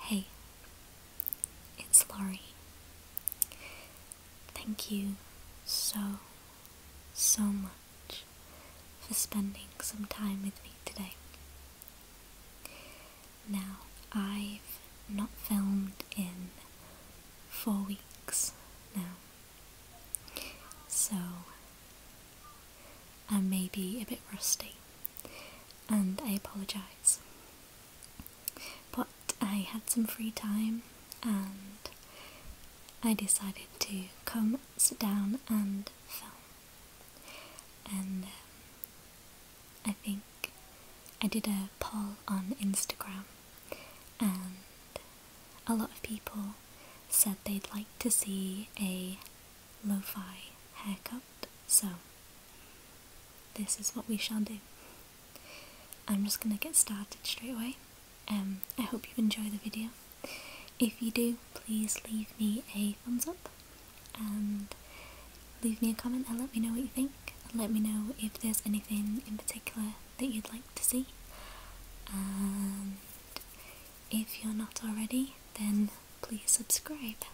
Hey, it's Laurie. Thank you so, so much for spending some time with me today. Now, I've not filmed in four weeks now, so and maybe a bit rusty, and I apologise. But I had some free time and I decided to come sit down and film. And um, I think I did a poll on Instagram, and a lot of people said they'd like to see a lo-fi haircut so this is what we shall do I'm just gonna get started straight away um, I hope you enjoy the video if you do please leave me a thumbs up and leave me a comment and let me know what you think and let me know if there's anything in particular that you'd like to see and if you're not already, then please subscribe.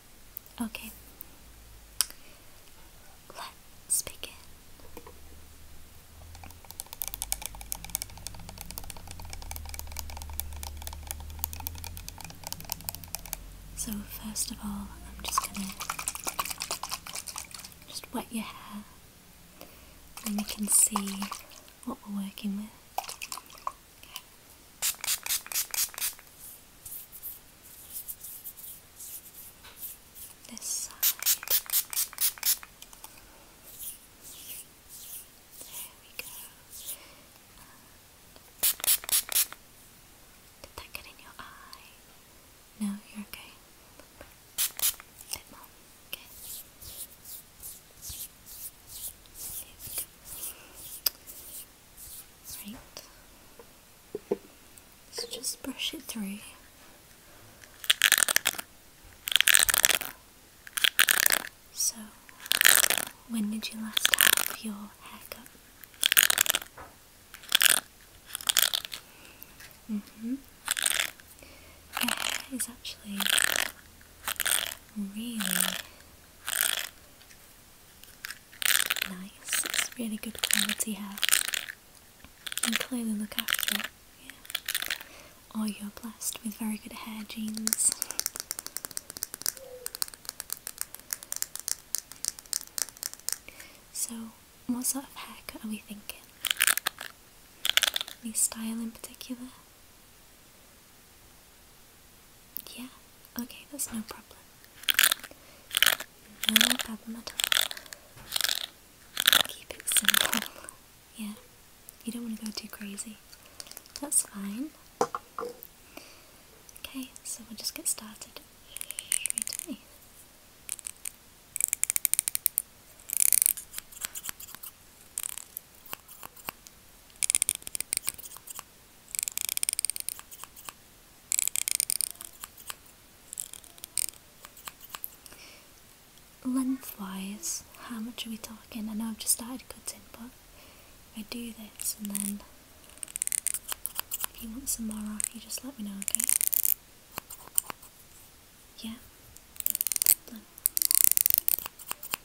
Okay, let's begin. So first of all, I'm just gonna just wet your hair, and you can see what we're working with. This side. There we go. Did that get in your eye? No, you're okay. Okay. Right. So just brush it through. So, when did you last have your haircut? Mm hmm. Your hair is actually really Nice, it's really good quality hair. You clearly look after it, yeah. Or oh, you're blessed with very good hair genes. So, what sort of haircut are we thinking? Any style in particular? Yeah, okay, that's no problem. No problem at all. Keep it simple. Yeah, you don't want to go too crazy. That's fine. Okay, so we'll just get started straight Lengthwise, how much are we talking? I know I've just started cutting, but if I do this and then if you want some more off, you just let me know, okay? Yeah?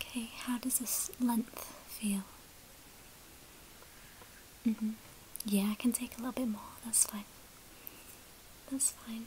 Okay, how does this length feel? Mm-hmm. Yeah, I can take a little bit more, that's fine. That's fine.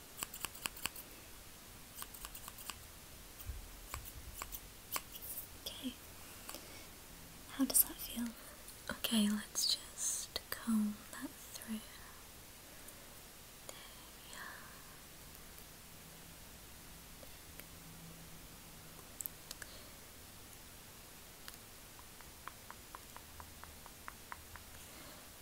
Okay. How does that feel? Okay, let's just comb that through. There we are.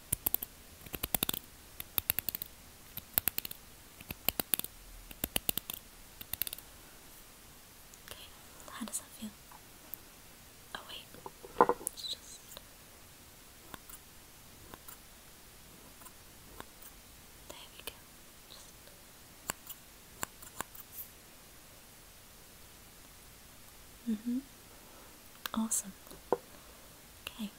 Okay, how does that feel? Oh wait, it's just... There we go. Just... Mm-hmm. Awesome. Okay.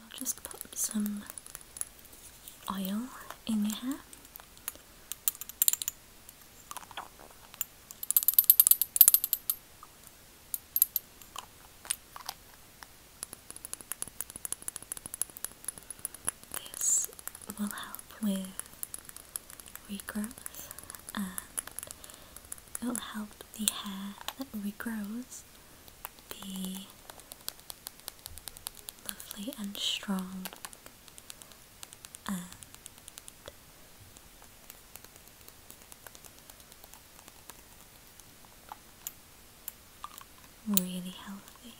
I'll just pop some oil in your hair. This will help with regrowth it will help the hair that regrows be lovely and strong and really healthy.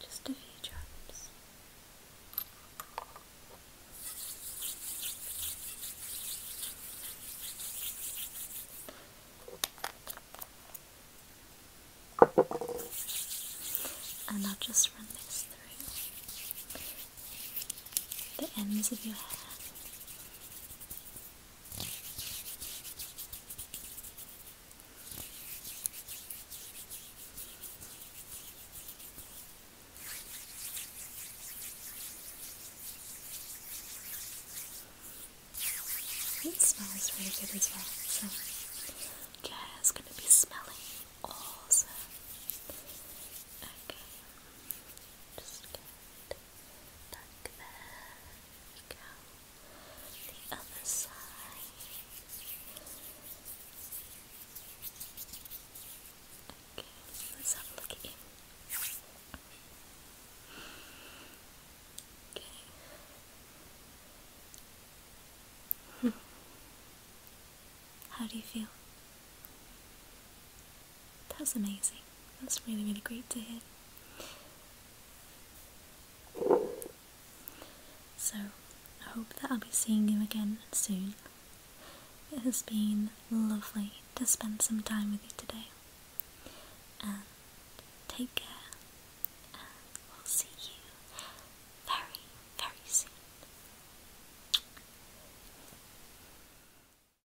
Just a few drops. And I'll just run this through the ends of your hair it smells really good as well, so Jazz gonna be smelling awesome. Okay, just good. Back there. go. The other side. Okay, let's have a look at you. Okay. How do you feel? That's amazing. That's really, really great to hear. So, I hope that I'll be seeing you again soon. It has been lovely to spend some time with you today. take care. And we'll see you very, very soon.